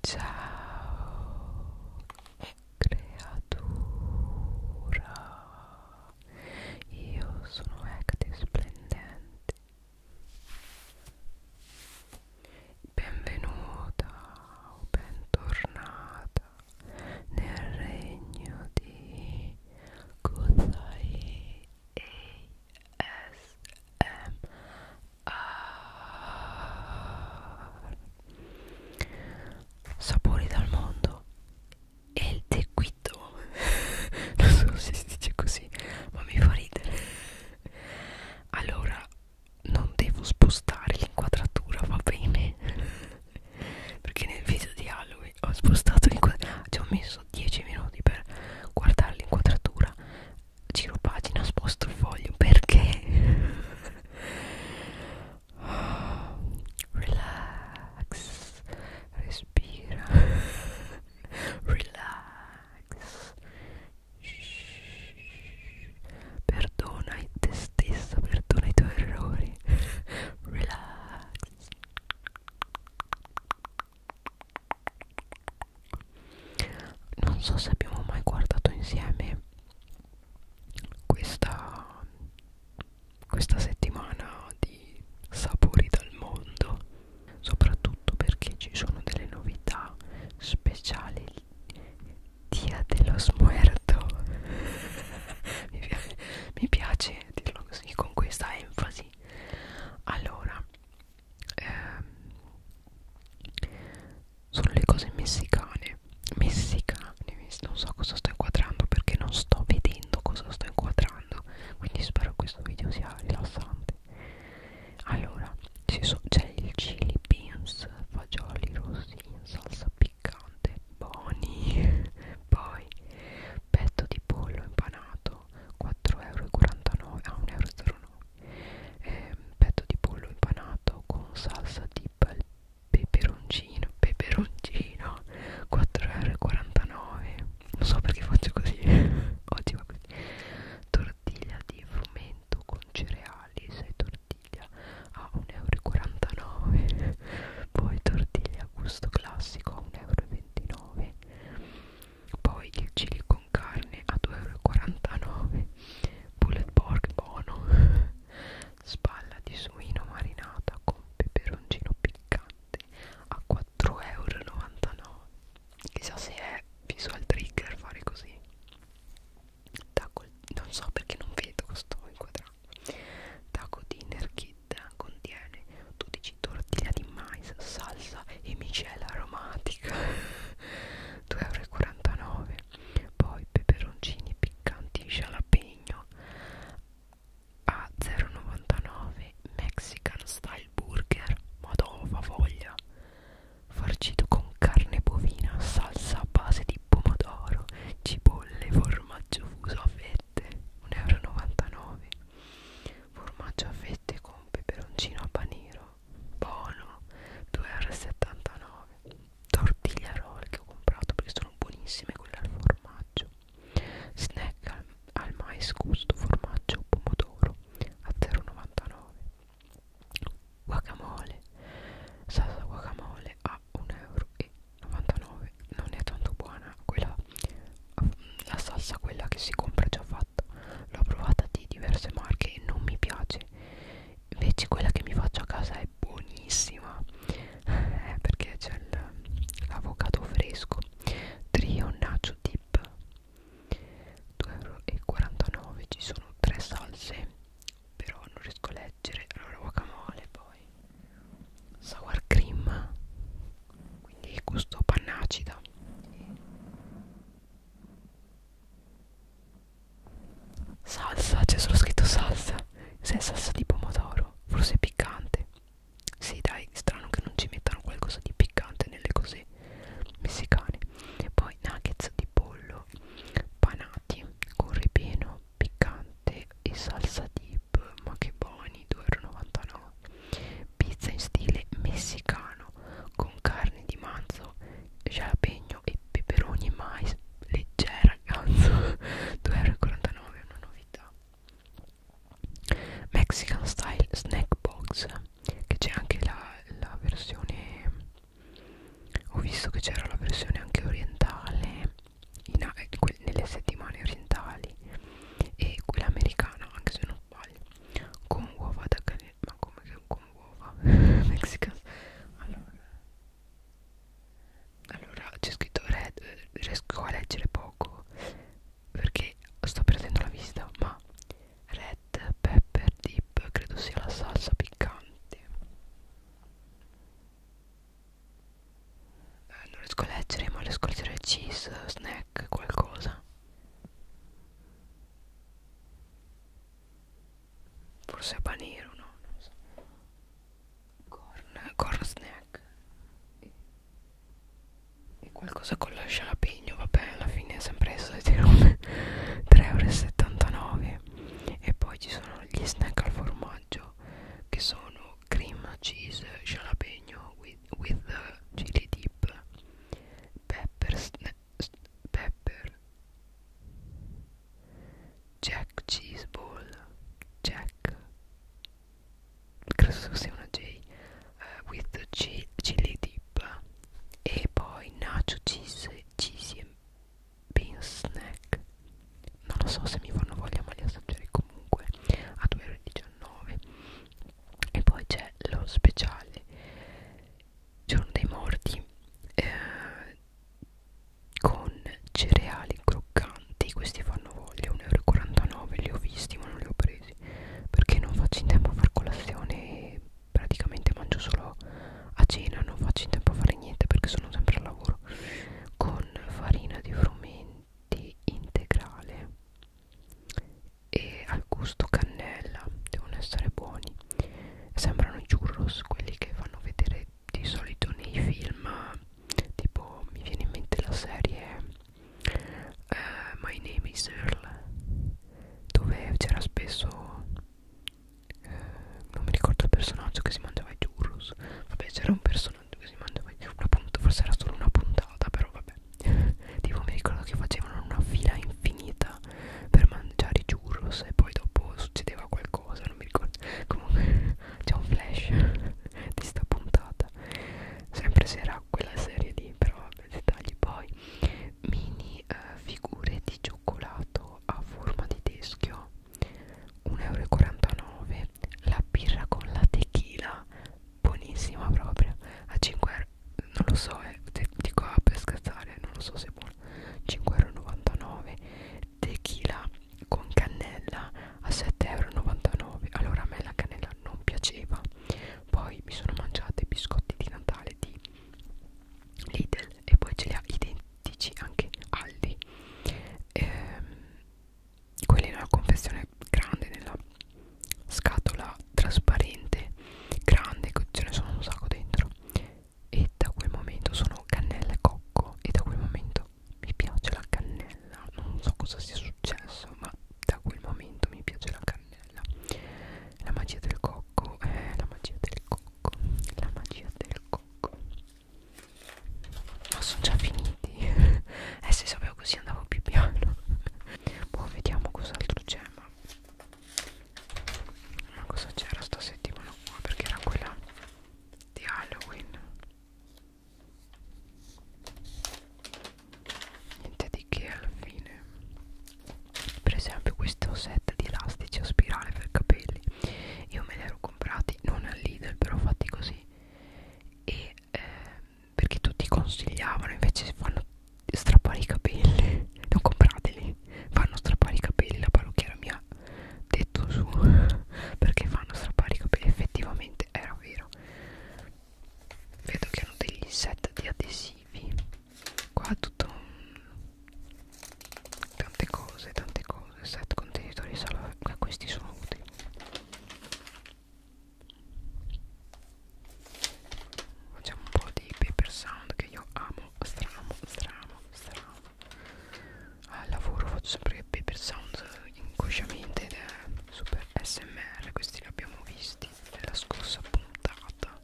Ciao creatura, io sono Acti Splendente, benvenuta o bentornata nel regno di Kuzai uh, sapori dal mondo e il tequito non so se si dice così ma mi fa ridere allora non devo spostare l'inquadratura va bene perché nel video di Halloween ho spostato l'inquadratura ah, ci ho messo 10 minuti per guardare l'inquadratura giro pagina sposto il foglio perché oh, relax respira relax Shhh. perdona te stessa perdona i tuoi errori relax non so se abbiamo mai guardato insieme questa, questa settimana di sapori dal mondo soprattutto perché ci sono delle novità speciali dia dello smuerto mi, piace, mi piace dirlo così con questa enfasi allora eh, sono le cose messicane messicane non so cosa sto inquadrando perché non sto vedendo cosa sto inquadrando quindi spero che questo video sia rilassante allora c'è so, il chili beans fagioli rossi in salsa piccante buoni poi petto di pollo impanato 4,49 euro a 1,09 ah, euro eh, petto di pollo impanato con salsa di peperoncino peperoncino 4,49€ non so perché faccio così oggi va così tortiglia di frumento con cereali 6 tortiglia a 1,49€ poi tortiglia a gusto classico a 1,29€ poi il chili con carne a 2,49€ bullet pork buono spalla di suino marinata con peperoncino piccante a 4,99€ chissà se è visual trigger fare così Taco, non so perché non vedo questo inquadrato Taco Dinner Kit contiene 12 tortilla di mais, salsa e micela aromatica 2,49 poi peperoncini piccanti jalapeno a 0,99 Mexican style burger madonna voglia farcito con carne bovina salsa a base di pomodoro cipolle formaggio fuso a fette 1,99 euro formaggio a fette con peperoncino a panero buono 2,79 tortiglia roll che ho comprato perché sono buonissime quelle al formaggio snack al, al mais gusto formaggio pomodoro a 0,99 guacamole salsa guacamole a 1,99 euro non è tanto buona quella la salsa quella che si compra già fatta l'ho provata di diverse marche e non mi piace invece quella che mi faccio a casa è buonissima eh, perché c'è l'avocado fresco trio nacho dip 2,49€ ci sono tre salse però non riesco a leggere allora guacamole poi sour cream quindi gusto pannacida Salsa, c'è solo scritto salsa Se è salsa di pomodoro, forse è piccante Sì dai, strano che non ci mettano qualcosa di piccante nelle cose messicane Poi nuggets di pollo panati con ripieno piccante e salsa dip Ma che buoni, 2,99 Pizza in stile messicano con carne di manzo, jalapeno e peperoni e mais. Leggera, ragazzo. 2,49€ una novità. Mexican Style Snack Box. Che c'è anche la, la versione. Ho visto che c'era la versione anche orientale. In, eh, nelle settimane orientali e quella americana anche se non sbaglio con uova da canile ma come che con uova mexicana allora, allora c'è scritto red riesco a leggere poco perché sto perdendo la vista ma red pepper dip credo sia la salsa piccante eh, non riesco a leggere ma riesco a leggere cheese snack black qualcosa forse panero no non so corn, corn snack e, e qualcosa con lo scialapegno vabbè alla fine è sempre solite robe 3,79€ e poi ci sono gli snack al formaggio che sono cream cheese scialapegno with, with chili di Pep Pepper sna Pepper Jack Cheeseball Jack credo sia una J uh, with the G chili dip e poi nacho cheese cheesy and bean snack non lo so se mi fanno voglia ma li assaggerei comunque a 2,19 e poi c'è lo speciale giorno dei morti eh, con cereali croccanti questi fanno voglia 1,49 euro li ho visti ma non li ho presi perché non faccio in tempo a fare colazione praticamente mangio solo a cena non faccio in tempo a fare niente perché sono sempre al lavoro con farina di frumento di integrale e al gusto cannella devono essere buoni sembrano i churros quelli che fanno vedere di solito nei film tipo mi viene in mente la serie uh, My Name is Earl dove c'era spesso uh, non mi ricordo il personaggio che si mangiava i churros vabbè c'era un personaggio non si mangia mai una punta, forse era solo una puntata però vabbè tipo mi ricordo che facevano una fila infinita per mangiare i churros e poi dopo succedeva qualcosa non mi ricordo comunque c'è un flash di sta puntata sempre se era quella serie lì però vabbè dettagli poi mini eh, figure di cioccolato a forma di teschio 1,49 euro la birra con la tequila buonissima proprio a 5 euro non lo so eh, dico ah, per scherzare non lo so se è buona 5,99 tequila con cannella a 7,99 allora a me la cannella non piaceva poi mi sono mangiata i biscotti di Natale di Lidl e poi ce li ha identici anche Aldi ehm, quella è una confezione grande nella scatola trasparente grande che ce ne sono un sacco dentro e da quel momento sono cannella e cocco e da quel momento mi piace la cannella non so cosa sia successo ma da quel momento mi piace la cannella la magia del cocco eh, la magia del cocco la magia del cocco ma sono già finiti eh se sapevo però così andavo più piano boh vediamo cos'altro c'è ma... ma cosa c'era sta settimana qua perché era quella di Halloween niente di che alla fine per esempio questo set di elastici a spirale per capelli io me li ero comprati non al Lidl però fatti così e eh, perché tutti consigliavano invece fanno strappare i capelli non comprateli fanno strappare i capelli la parrucchiera mi ha detto su perché fanno strappare i capelli effettivamente era vero vedo che hanno degli set di adesivi qua tutto tante cose tante cose set contenitori salvo questi sono utili facciamo un po' di paper sound che io amo stramo stramo stramo al lavoro faccio sempre paper sound inconsciamente ed è super smr questi li abbiamo visti nella scorsa puntata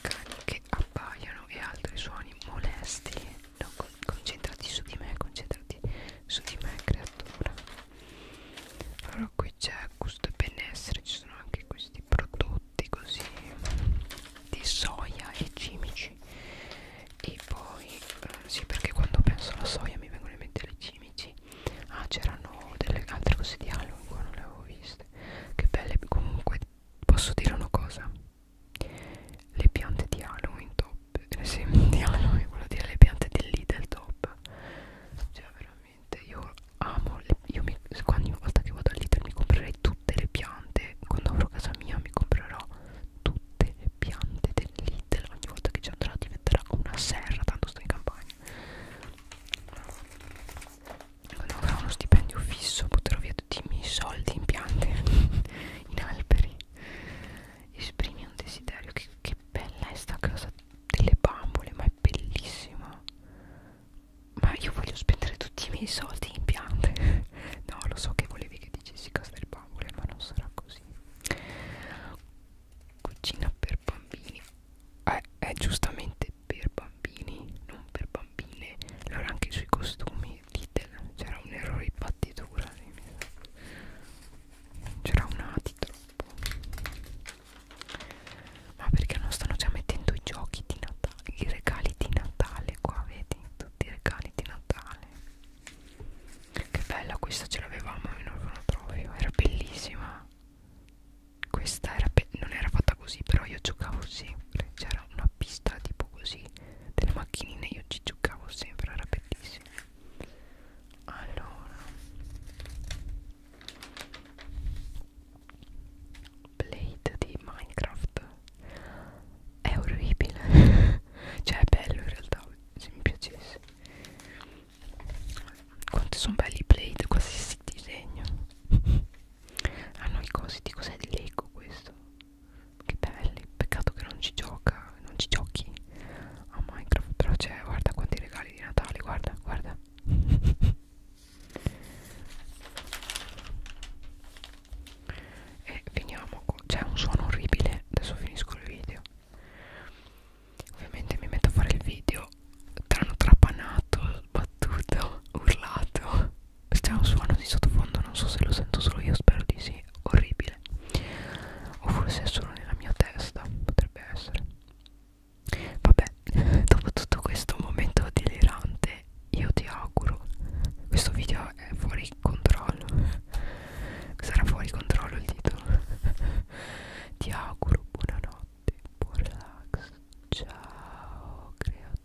cani che abbaiano e altri suoni molesti no, con concentrati su di me concentrati su di me creatura allora qui c'è gusto e benessere ci sono anche questi prodotti così di soia e cimici e poi eh, sì perché quando penso alla soia mi vengono in mente le cimici ah c'erano delle altre cose di Halloween qua non le avevo viste che belle comunque posso dire una cosa le piante di Halloween top eh, sì, Diano io volevo dire le piante del Lidl top cioè veramente io amo le, io mi, ogni volta che vado al Lidl mi comprerei tutte le piante quando avrò casa mia mi comprerò tutte le piante del Lidl ogni volta che ci andrò diventerà una serra tanto sto in campagna quando avrò uno stipendio fisso butterò via tutti i miei soldi in piante in alberi esprimi un desiderio che, che bella è sta cosa delle bambole ma è bellissima ma io voglio spendere tutti i miei soldi in piante no lo so che volevi che dicessi cosa delle bambole ma non sarà così cucina per bambini eh, è giustamente per bambini non per bambine allora anche sui costumi Lidl c'era un errore di battitura c'era un A di troppo ma perché non stanno già mettendo i giochi di Natale i regali di Natale qua vedi tutti i regali di Natale che bella questa ce l'avevamo in orfanotrofio era bellissima questa era non era fatta così però io giocavo sempre c'era una pista tipo così delle macchinine io ci giocavo sempre era bellissimo bene allora Blade di Minecraft è orribile cioè è bello in realtà se mi piacesse quanti sono belli Blade qualsiasi disegno hanno i cosi di cos'è di Lego questo che belli peccato che non ci gioca non ci giochi a Minecraft però c'è guarda quanti regali di Natale guarda guarda e finiamo c'è un suono orribile adesso finisco il video ovviamente mi metto a fare il video tranne trapanato sbattuto urlato c'è un suono di sottofondo non so se lo sento solo io spero di sì è orribile o forse è solo nella mia testa potrebbe essere vabbè dopo tutto questo momento delirante io ti auguro questo video è fuori controllo sarà fuori controllo il titolo ti auguro buonanotte buon relax ciao creatura